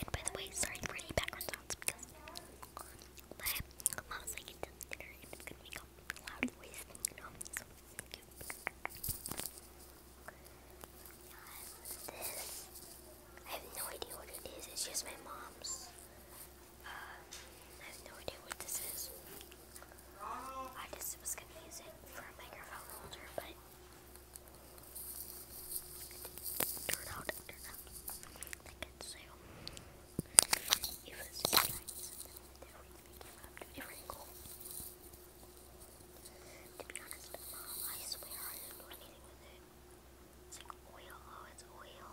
And by the way, sorry for any background sounds because mom's like dinner and it's gonna make loud I have no idea what it is. It's just my mom's. Uh, I have no idea what this is. I just was going to use it for a microphone holder, but it out, turned out like it, so it was nice. There we came up to a different goal. To be honest, I swear I didn't do anything with it. It's like oil, oh, it's oil.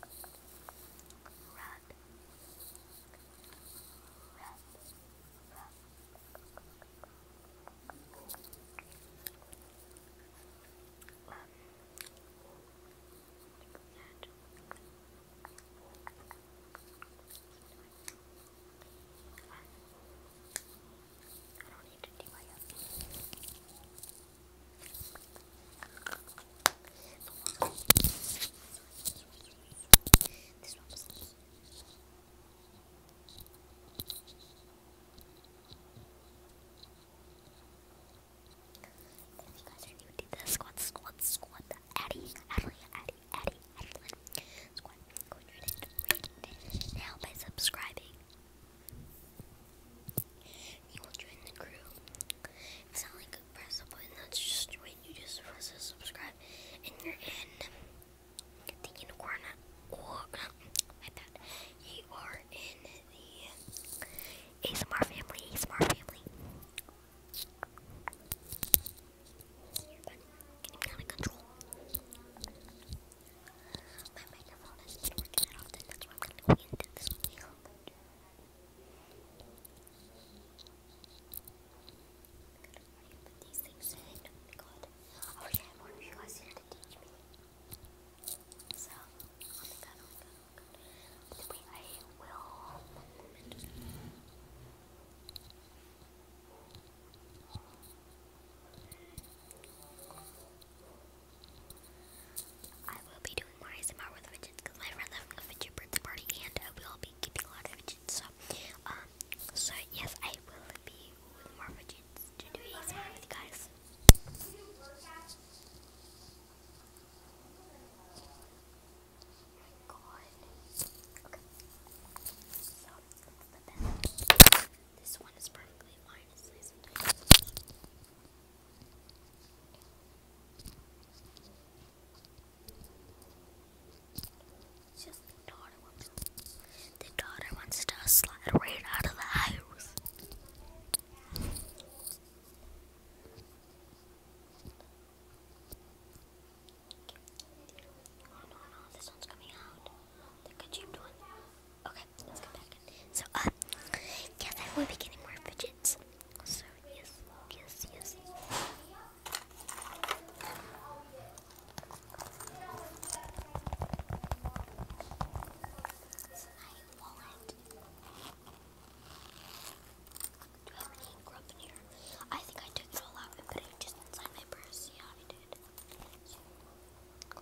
red, red, red. Um, like that. I don't need to do my own. This if you guys are new to this, squat, squat, squat, Addy, Addy, Addy, Addy, Addy, go to it, now by subscribing, you will join the crew. It's not like press a button, that's just when you just press a subscribe and you're in. The unicorn, or uh, my bad, you are in the ASMR family, ASMR family. getting out of control. My microphone is working at all, that's why I'm gonna go into this wheel. Already put these things in. Oh my god. I wish I had more of you guys here to teach me. So, oh my god, oh I will. I will be doing more ASMR with fidgets because my friend left a fidget birthday party and I uh, will be keeping a lot of fidgets. So, um, so yes, I will be with more fidgets to do ASMR with you guys. Oh this one is perfectly fine, the daughter wants to slide right out of the house. Oh no, this one's coming out think I cheated Okay, let's go back. So, uh, yes, I will be getting more fidgets. So, yes, yes, yes. Do I have any ink in here? I think I took it all out and put it just inside my purse. Yeah, I did.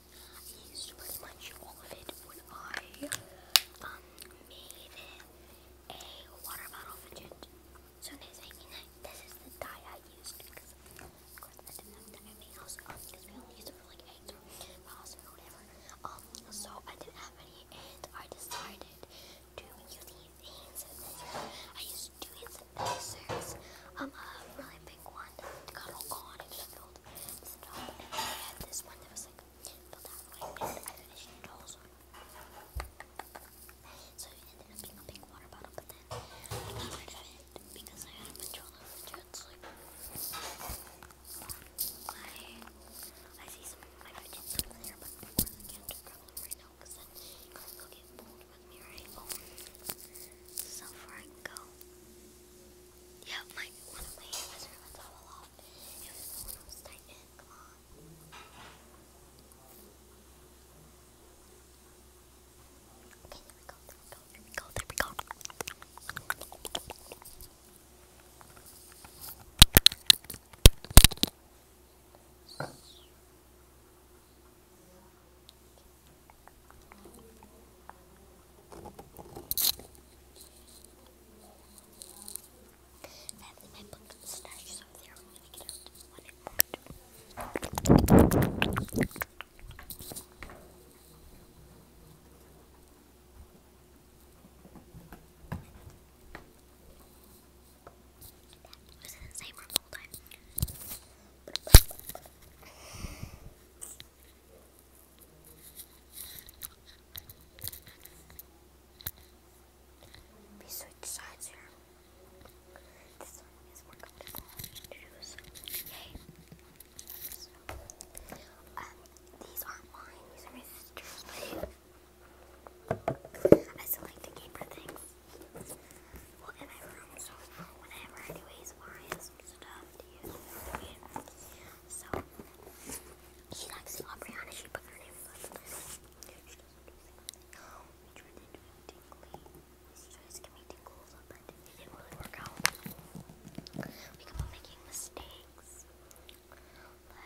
I used um, pretty much all of it when I made a water bottle fidget. So this, I mean, this is the dye I used because I didn't have dye in um, because we only used it for like eggs or moss or whatever. Um, so I didn't have any, and I decided to use these things. I used two hands pacers. Um, a really big one I had this one that was like filled out white and I finished it So it ended up being a big water bottle, but then I got rid of it because I had a control of the jets. I, I see some my fidgets over there, but I can't grab them right now because then I go get more. So far I go. Yep, my one of my hammers are about to It was the one Come on. Okay, there we go, there we go, there we go, there we go. Finally, my book stashes over there. I'm gonna get out when it worked. That was in the same room the whole time. We switch sides here. This one is more comfortable to use. Yay! So, um, these aren't mine, these are my sister's, but I still like to keep her things well, in my room, so whenever anyways, or stuff to use for So, she likes Aubriana, she put her name She doesn't do anything. We tried to do it tingly. She tries to give me tingles, but it didn't work out. We kept on making mistakes. Like,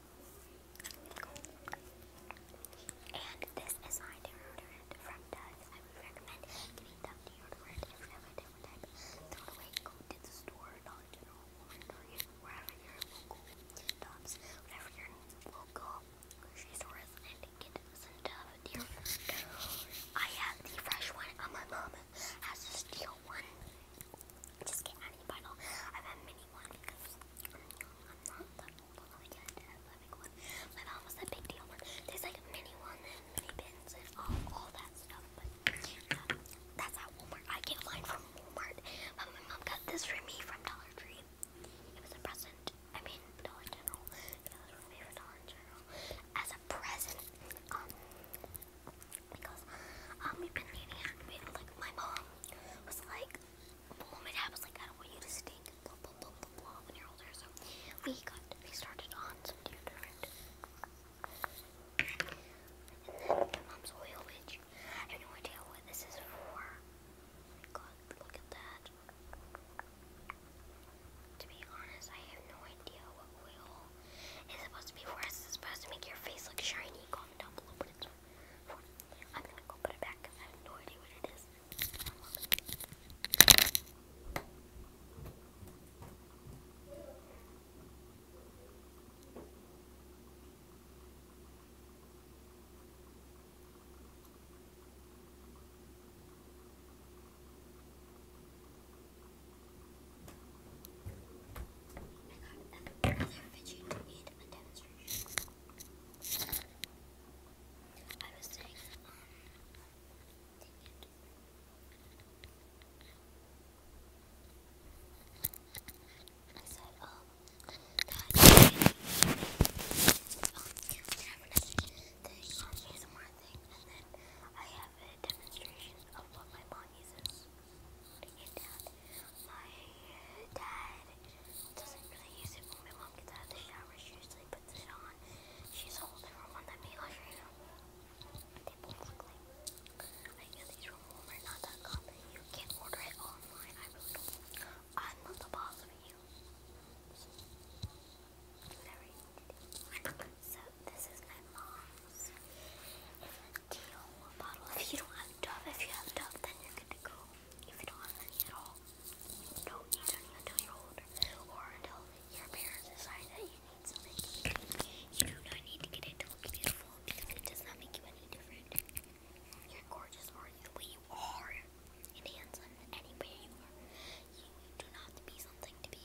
And this is my deodorant from Dove. I would recommend getting Dove deodorant if you Throw it away, go to the store, Dollar General, Walmart, Target, wherever your local Dove's, whatever your local grocery store is, and some Dove deodorant. I have the fresh one on my mom has a steel one. Just get out of your bottle. I have a mini one because I'm, not that old. I only get a big one. My mom was that big deal one. There's like a mini one and mini bins and all, all that stuff. But that's at Walmart. I get mine from Walmart. But my mom got this for me from Dollar Tree. It was a present. I mean, Dollar General. It was from me for Dollar General. As a present. Um, because um we've been dating and we, like my mom was like my dad was like I don't want you to stink when you're older so we got we started on some deodorant and then my mom's oil which I have no idea what this is for. Oh my god, look at that. To be honest, I have no idea what oil it's supposed to be for us. It's supposed to make your face look shiny. Comment down below I'm gonna go put it back I have no idea what it is. I'd rather fidget than need a demonstration. I was saying, um, dang it. I said, um, that um, you can have another thing, um, more thing, and then I have a demonstration of what my mom uses putting it down. My dad doesn't really use it when my mom gets out of the shower. She usually puts it on. She's holding from one that Mila right They both like. I know these from Walmart, You can order it online. I am not the boss of you. Whatever so this is my mom's. It's bottle. If you don't have Dove, if you have Dove, then you're good to go. If you don't have any at all, don't need any until you're older or until your parents decide that you need something. You do not need to get it to beautiful because it does not make you any different. You're gorgeous the way you are and handsome any way you are. You do not have to be something to be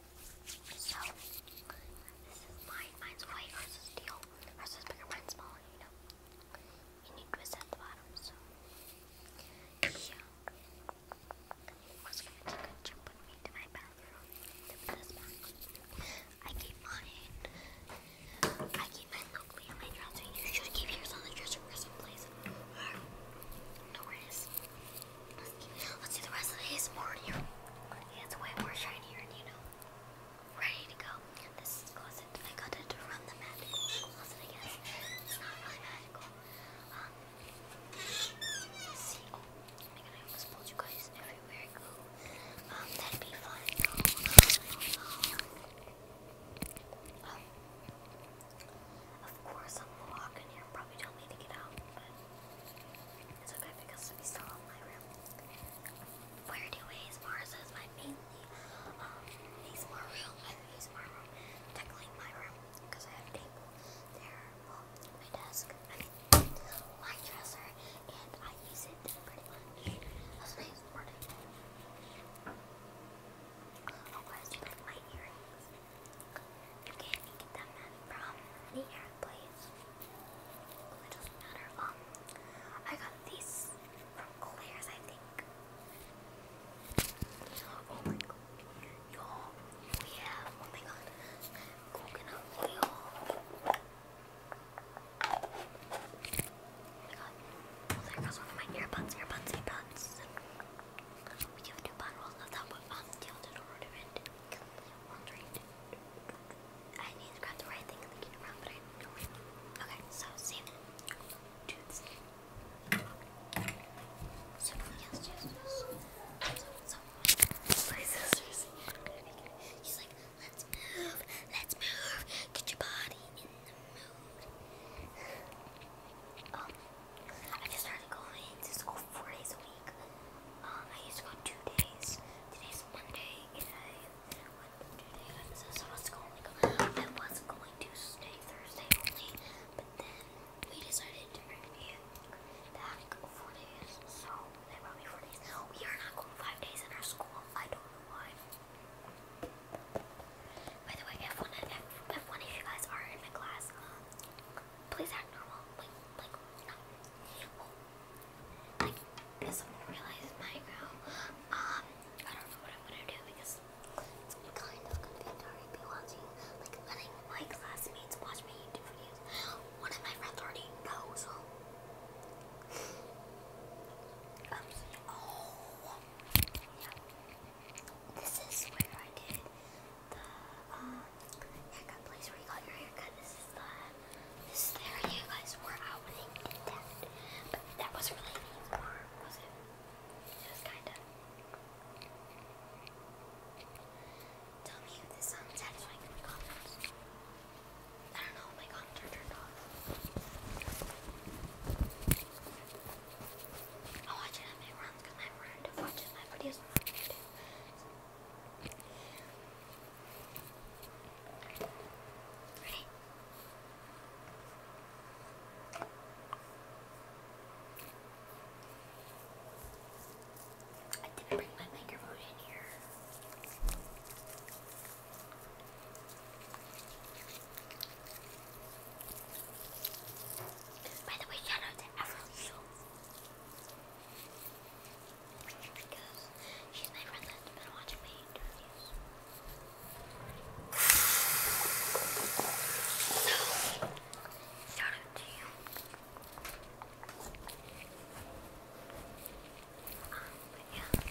So, this is mine. Mine's white, hers is teal. bigger, mine's smaller, you know. You need to at the bottom, so. Yeah. i gonna jump me to my bathroom. I keep mine. I keep mine locally on my dresser. You should keep yours on the dresser or someplace. No worries. Let's, let's do the rest of the ASMR shortly. That's why shinier and, you know, ready to go. This closet. I got it from the magical closet, I guess. It's not really magical. Um, see. Oh, my god, I almost pulled you guys everywhere I Um, that'd be fun. Um, of course, I'm walking here. Probably don't need to get out, it's okay because we still have my room. Where do ASMRs is my mainly um, ASMR room. I have ASMR to technically my room, because I have a table there, um, my desk, my dresser, and I use it pretty much as my ASMR table. Oh guys, you like my earrings. Okay, you get them from the air fireplace. it doesn't matter. Um, I got these from Claire's, I think. Oh my god. Y'all, we have, oh my god, coconut oil. Oh my god. Oh, there goes one of my earbuds, earbuds, earbuds. We have two bottles of that one. Um, deodorant. One's right I need to grab the right thing and the around, but I don't know. Okay, so save it. Do this. So, yes, yes, So, so, my sister's She's like, let's move, let's move. Get your body in the mood. Um, I just started going to school four days a um, I used to go two days. Today's Monday, and was going to go. I was going to stay Thursday only, but then we decided to bring me back four days. So they brought me four days. We are not going five days in our school. I don't know why. By the way, F1 and F1, if you guys are in my class, um, please act normal. Like, like, no. Like, if someone realizes my girl, um, I don't know what I'm gonna do because it's kind of convenient to be watching, like, letting my classmates watch my YouTube videos. One of my friends already knows. Um, oh, yeah. This is where I did the um, haircut place where you got your haircut. This is the this is the area you guys were out when But that was really the farm, was it? It was kinda. Tell me if this sounds satisfying I don't know oh my comments turned off. I watch it on my runs because my friend watches my videos I didn't bring my microphone in here. By the way, shout out to Everly Schultz. Because she's my friend that's been watching my interviews. shout out to you. Um, yeah.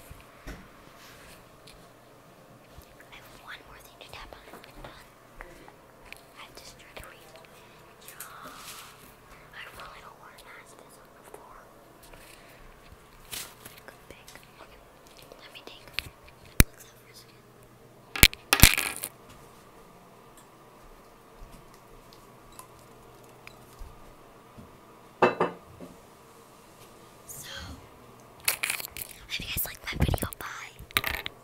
I have one more thing to tap on. I just try to read. Oh, I really don't want to ask this on the floor. let me take So, hope you guys liked my video. Bye.